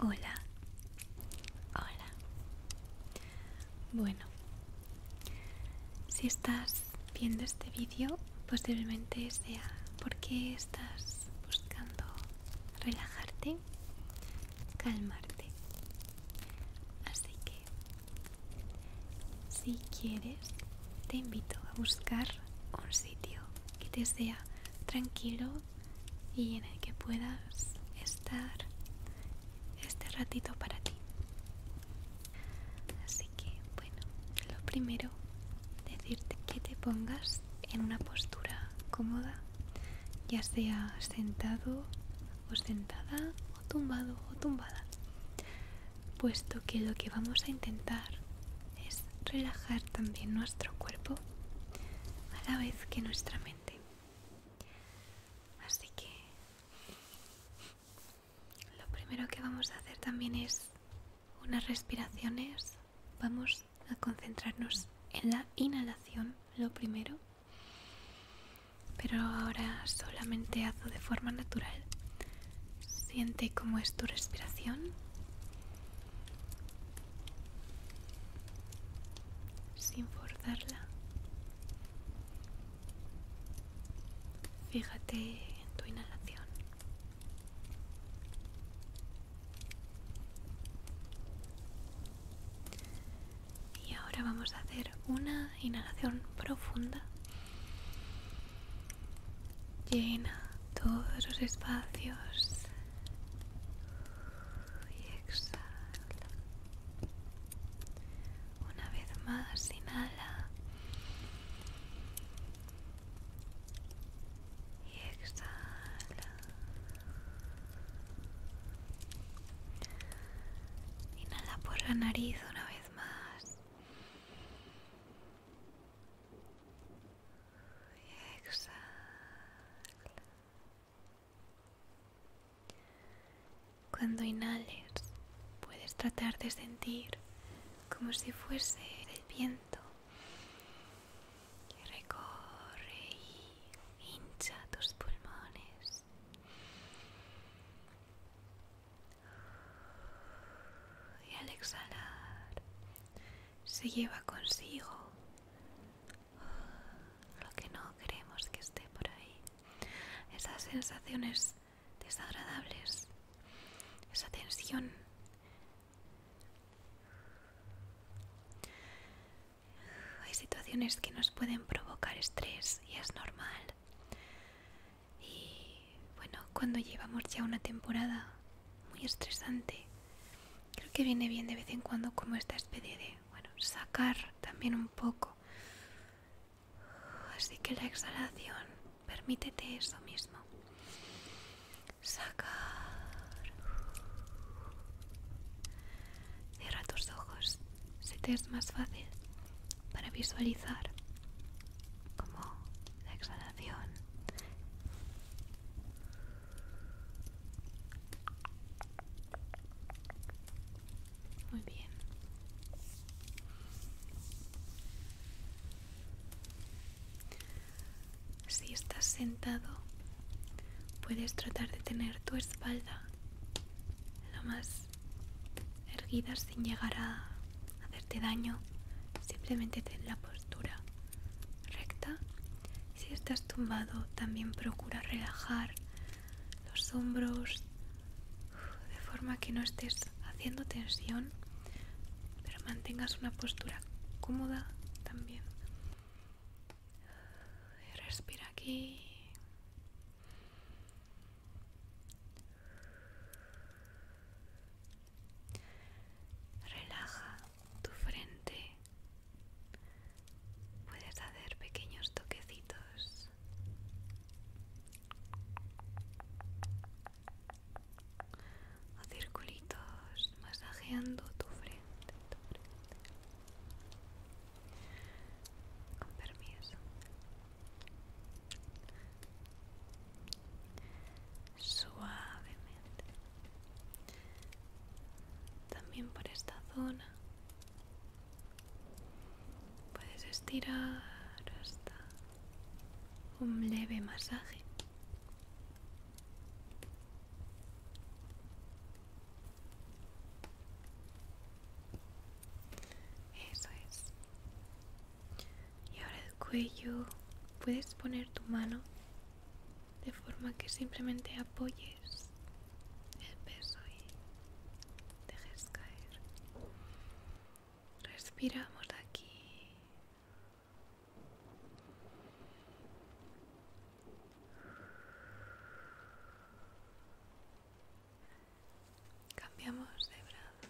Hola, hola. Bueno, si estás viendo este vídeo, posiblemente sea porque estás buscando relajarte, calmarte. Así que, si quieres, te invito a buscar un sitio que te sea tranquilo y en el que puedas estar este ratito para ti. Así que bueno, lo primero, decirte que te pongas en una postura cómoda, ya sea sentado o sentada o tumbado o tumbada, puesto que lo que vamos a intentar es relajar también nuestro cuerpo a la vez que nuestra mente. Así que lo primero que vamos a hacer también es unas respiraciones. Vamos a concentrarnos en la inhalación, lo primero. Pero ahora solamente hazlo de forma natural. Siente cómo es tu respiración sin forzarla. Fíjate en tu inhalación. Y ahora vamos a hacer una inhalación profunda. Llena todos los espacios y exhala. Una vez más, inhala y exhala. Inhala por la nariz una vez más exhala. Cuando inhales, puedes tratar de sentir como si fuese el viento que recorre y hincha tus pulmones. Y al exhalar, se lleva consigo lo que no queremos que esté por ahí. Esas sensaciones desagradables, esa tensión. Hay situaciones que nos pueden provocar estrés y es normal. Y bueno, cuando llevamos ya una temporada muy estresante, Creo que viene bien de vez en cuando como esta especie de, bueno, sacar también un poco. Así que la exhalación, permítete eso mismo. Sacar. Cierra tus ojos, si te es más fácil para visualizar como la exhalación muy bien. Si estás sentado, puedes tratar de tener tu espalda la más erguida sin llegar a hacerte daño. Simplemente ten la postura recta. si estás tumbado, también procura relajar los hombros de forma que no estés haciendo tensión, pero mantengas una postura cómoda también. Respira aquí. Relaja tu frente. Puedes hacer pequeños toquecitos. O circulitos masajeando tu frente, Con permiso suavemente también por esta zona puedes estirar hasta un leve masaje eso es y ahora cuello puedes poner tu mano de forma que simplemente apoyes el peso y dejes caer. Respiramos aquí. Cambiamos de brazo.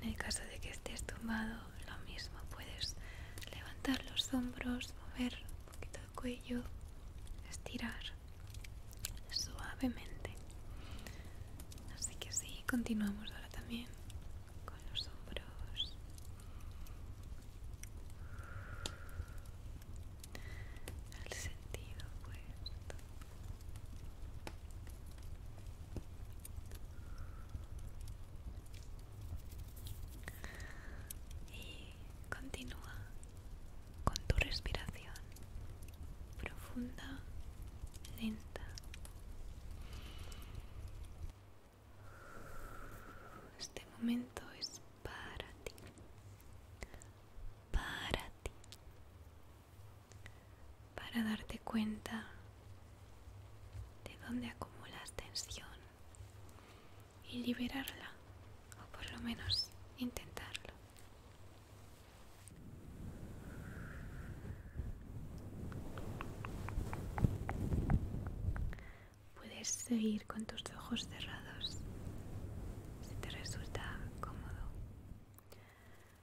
En el caso de que estés tumbado, lo mismo, puedes levantar los hombros, mover un poquito el cuello, estirar suavemente. Así que sí, continuamos ahora también con los hombros. Al sentido pues continúa con tu respiración profunda, lenta. Este momento es para ti, para ti, para darte cuenta de dónde acumulas tensión y liberarla, o por lo menos intentarlo. Puedes seguir con tus ojos cerrados si te resulta cómodo.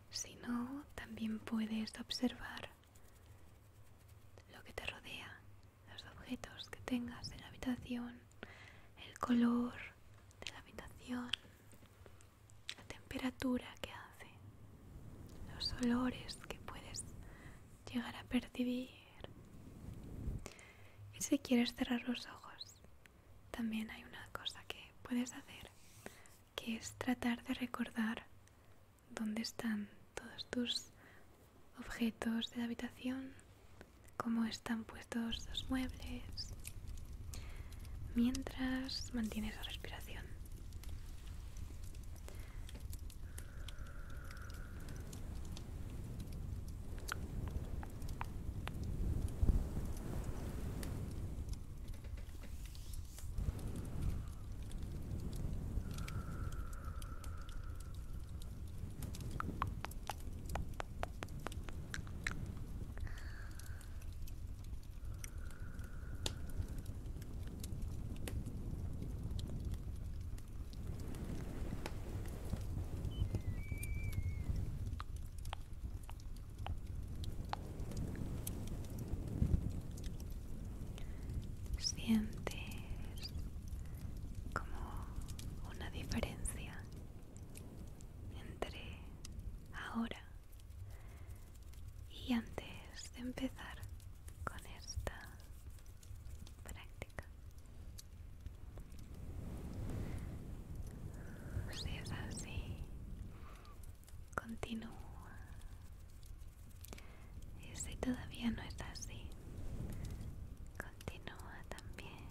Si no, también puedes observar lo que te rodea, los objetos que tengas en la habitación, el color de la habitación, la temperatura que hace, los olores que puedes llegar a percibir. Y si quieres cerrar los ojos, también hay una cosa que puedes hacer, que es tratar de recordar dónde están todos tus objetos de la habitación cómo están puestos los muebles mientras mantienes la respiración. Sientes como una diferencia entre ahora y antes de empezar con esta práctica. Si es así, continúa. Y si todavía no es así, Continúa también.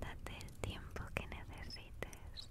Date el tiempo que necesites.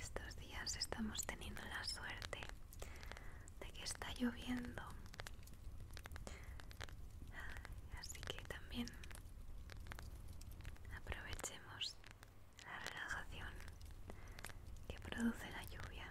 Estos días estamos teniendo la suerte de que está lloviendo. Así que también aprovechemos la relajación que produce la lluvia.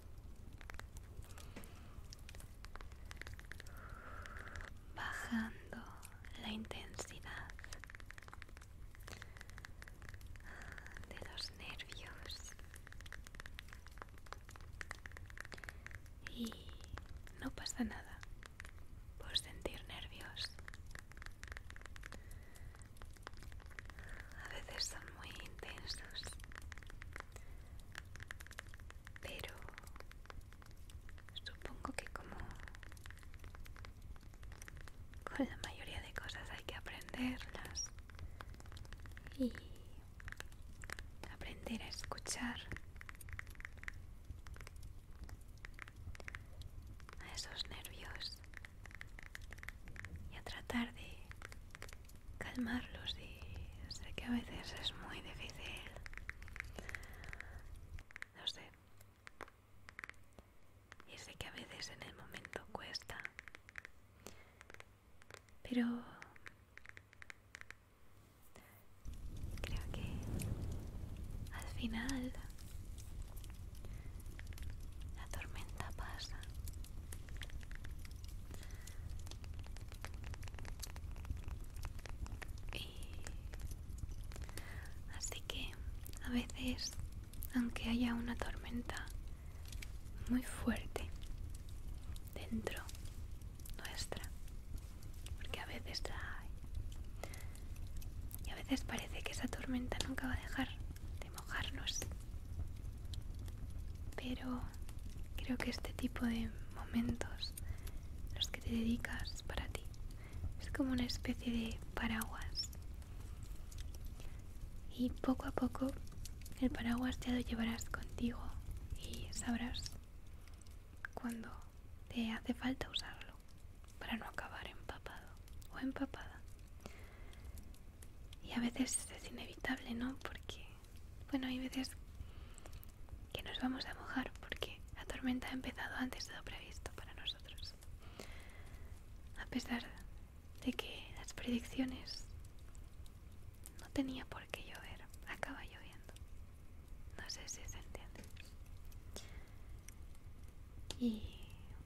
bajando la intensidad de los nervios y no pasa nada por sentir nervios a veces son muy intensos pero supongo que como con la mayoría de cosas hay que aprenderlas y aprender a escuchar a esos nervios y a tratar de calmarlos y sé que a veces es muy difícil. No sé. Y sé que a veces en el momento cuesta. Pero creo que al final la tormenta pasa así que a veces, aunque haya una tormenta muy fuerte dentro nuestra, porque a veces y a veces parece que esa tormenta nunca va a dejar de mojarnos, pero creo que este tipo de momentos, los que te dedicas para ti, es como una especie de paraguas. Y poco a poco el paraguas ya lo llevarás contigo y sabrás cuando te hace falta usarlo para no acabar empapado o empapada. Y a veces es inevitable, ¿no? Porque bueno, hay veces que nos vamos a mojar porque la tormenta ha empezado antes de lo previsto para nosotros. A pesar de que las predicciones no tenía por qué llover, acaba lloviendo. No sé si se entiende. Y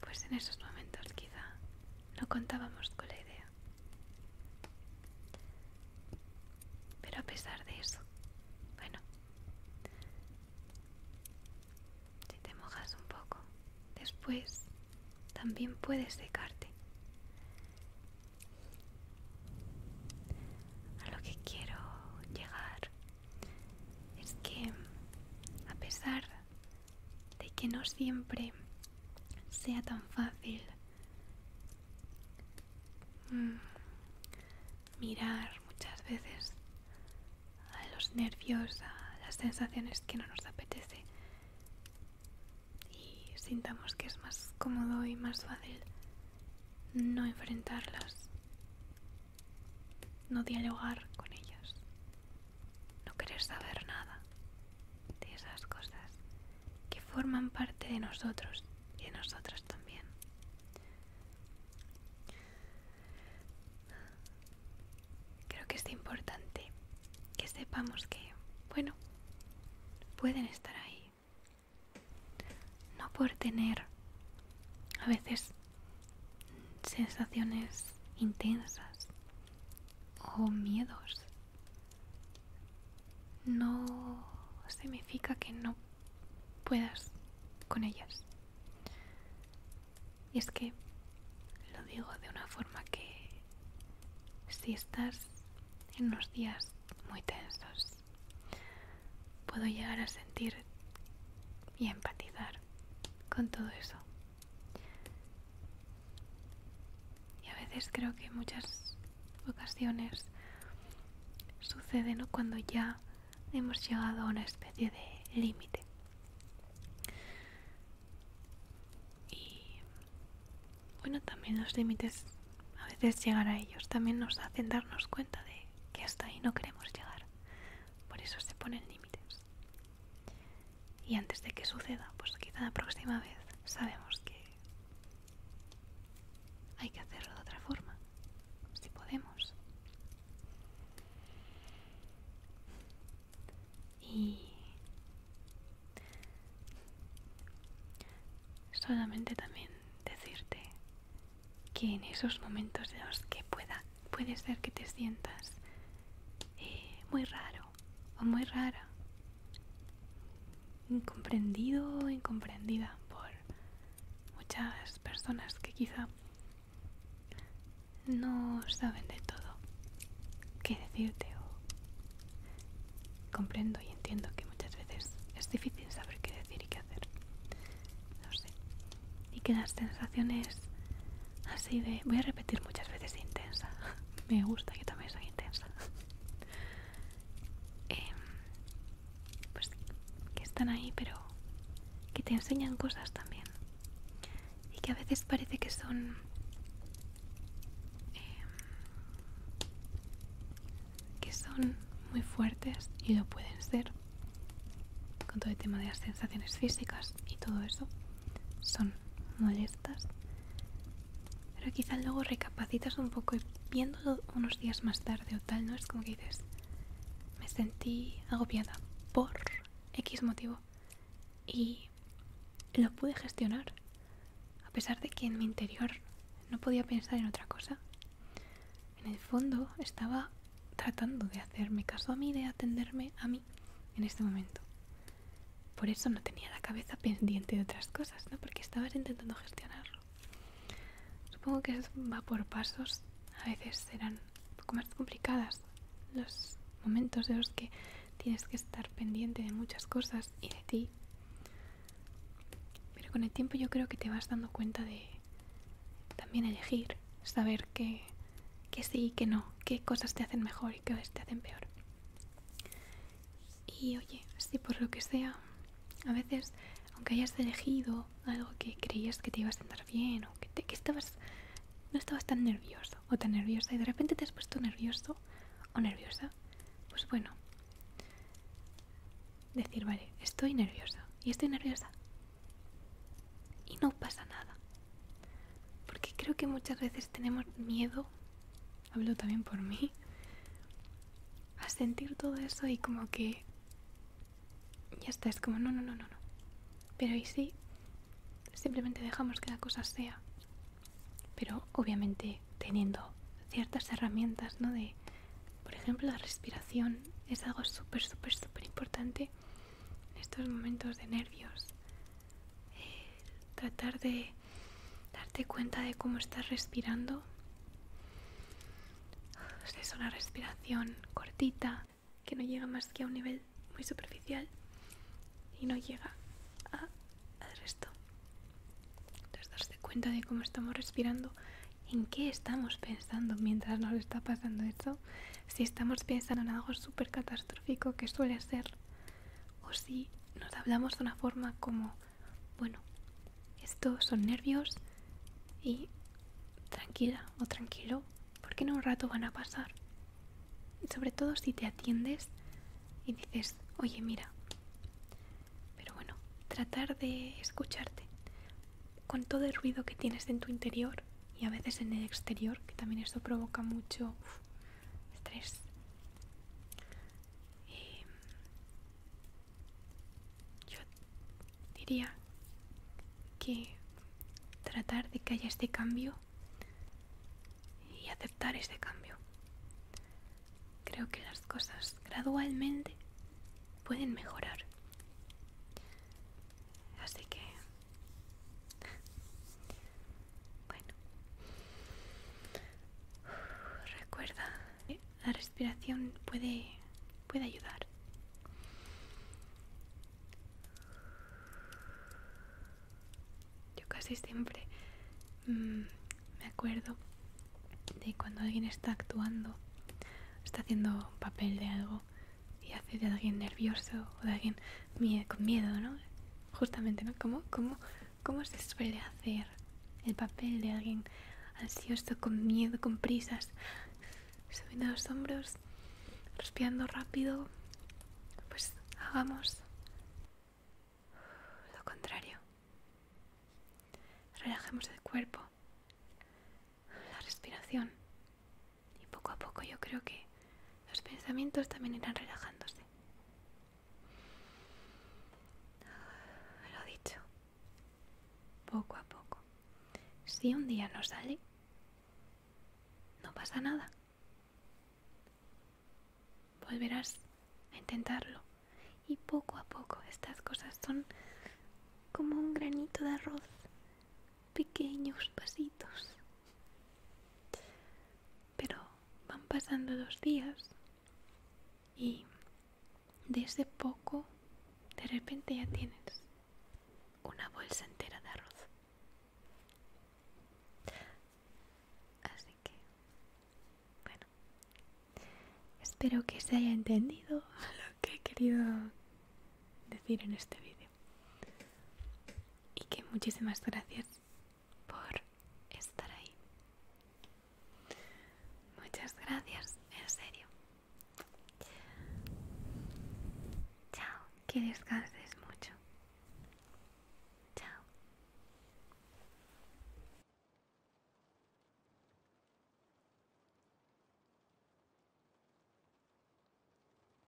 pues en esos momentos quizá no contábamos con la idea pero a pesar de eso, bueno, si te mojas un poco, después también puedes secarte. A lo que quiero llegar es que a pesar de que no siempre sea tan fácil mm, mirar muchas veces a los nervios, a las sensaciones que no nos apetece y sintamos que es más cómodo y más fácil no enfrentarlas, no dialogar con ellas, no querer saber nada, de esas cosas que forman parte de nosotros y de nosotras también. Creo que es importante que sepamos que, bueno, pueden estar ahí. No por tener a veces sensaciones intensas o oh, miedos no significa que no puedas con ellas. Y es que lo digo de una forma que si estás en unos días muy tensos, puedo llegar a sentir y empatizar con todo eso. Y a veces creo que muchas ocasiones suceden cuando ya hemos llegado a una especie de límite. Y bueno, también los límites, a veces llegar a ellos, también nos hacen darnos cuenta de que hasta ahí no queremos llegar. Por eso se ponen límites. Y antes de que suceda, pues quizá la próxima vez sabemos que hay que hacerlo de otra forma, si podemos. Y solamente también decirte que en esos momentos de los que pueda, puede ser que te sientas eh, muy raro o muy rara. Incomprendido o incomprendida por muchas personas que quizá no saben de todo qué decirte comprendo y entiendo que muchas veces es difícil saber qué decir y qué hacer. No sé. Y que las sensaciones así de voy a repetir muchas veces intensa me gusta que también soy intensa em, pues que están ahí pero que te enseñan cosas también y que a veces parece que son em, que son muy fuertes y lo pueden ser con todo el tema de las sensaciones físicas y todo eso son molestas, pero quizás luego recapacitas un poco y viéndolo unos días más tarde o tal, ¿no? Es como que dices, me sentí agobiada por X motivo y lo pude gestionar, a pesar de que en mi interior no podía pensar en otra cosa. En el fondo estaba tratando de hacerme caso a mí, de atenderme a mí en este momento. Por eso no tenía la cabeza pendiente de otras cosas, ¿no? Porque estabas intentando gestionarlo. Supongo que eso va por pasos. A veces serán un poco más complicadas los momentos de los que tienes que estar pendiente de muchas cosas y de ti. Pero con el tiempo yo creo que te vas dando cuenta de también elegir, saber qué sí y qué no, qué cosas te hacen mejor y qué te hacen peor. Y oye, si por lo que sea, a veces, aunque hayas elegido algo que creías que te iba a sentar bien o que, que estabas, no estabas tan nervioso o tan nerviosa y de repente te has puesto nervioso o nerviosa, pues bueno, decir, vale, estoy nerviosa y estoy nerviosa y no pasa nada. Porque creo que muchas veces tenemos miedo, hablo también por mí, a sentir todo eso y como que ya está, es como no, no, no, no, no. Pero y sí, simplemente dejamos que la cosa sea. Pero obviamente teniendo ciertas herramientas, ¿no? De, por ejemplo, la respiración es algo súper, súper, súper importante en estos momentos de nervios, tratar de darte cuenta de cómo estás respirando. Es una respiración cortita que no llega más que a un nivel muy superficial y no llega al resto. Entonces, darte cuenta de cómo estamos respirando, en qué estamos pensando mientras nos está pasando esto, Si estamos pensando en algo súper catastrófico que suele ser o si nos hablamos de una forma como, bueno, estos son nervios y tranquila o tranquilo, porque en un rato van a pasar. Y sobre todo si te atiendes y dices, oye, mira. Pero bueno, tratar de escucharte con todo el ruido que tienes en tu interior y a veces en el exterior, que también esto provoca mucho estrés. Mm, yo diría que tratar de que haya este cambio y aceptar este cambio. Creo que las cosas gradualmente pueden mejorar. Así que bueno, recuerda, la respiración puede, ayudar. Yo casi siempre mm, me acuerdo de cuando alguien está actuando, está haciendo papel de algo y hace de alguien nervioso o de alguien con miedo, ¿no? justamente, ¿no? ¿Cómo, cómo, cómo se suele hacer el papel de alguien ansioso, con miedo, con prisas, subiendo los hombros, respirando rápido? Pues hagamos lo contrario. Relajemos el cuerpo, la respiración. Y poco a poco yo creo que los pensamientos también irán relajándose. Lo dicho, poco a poco. Si un día no sale, no pasa nada. Volverás a intentarlo. Y poco a poco estas cosas son como un granito de arroz pequeños pasitos. Pero van pasando dos días y de ese poco de repente ya tienes una bolsa entera de arroz. Así que, bueno, espero que se haya entendido lo que he querido decir en este vídeo. Y que muchísimas gracias por estar ahí. Muchas gracias, en serio. Chao, que descanses mucho. Chao.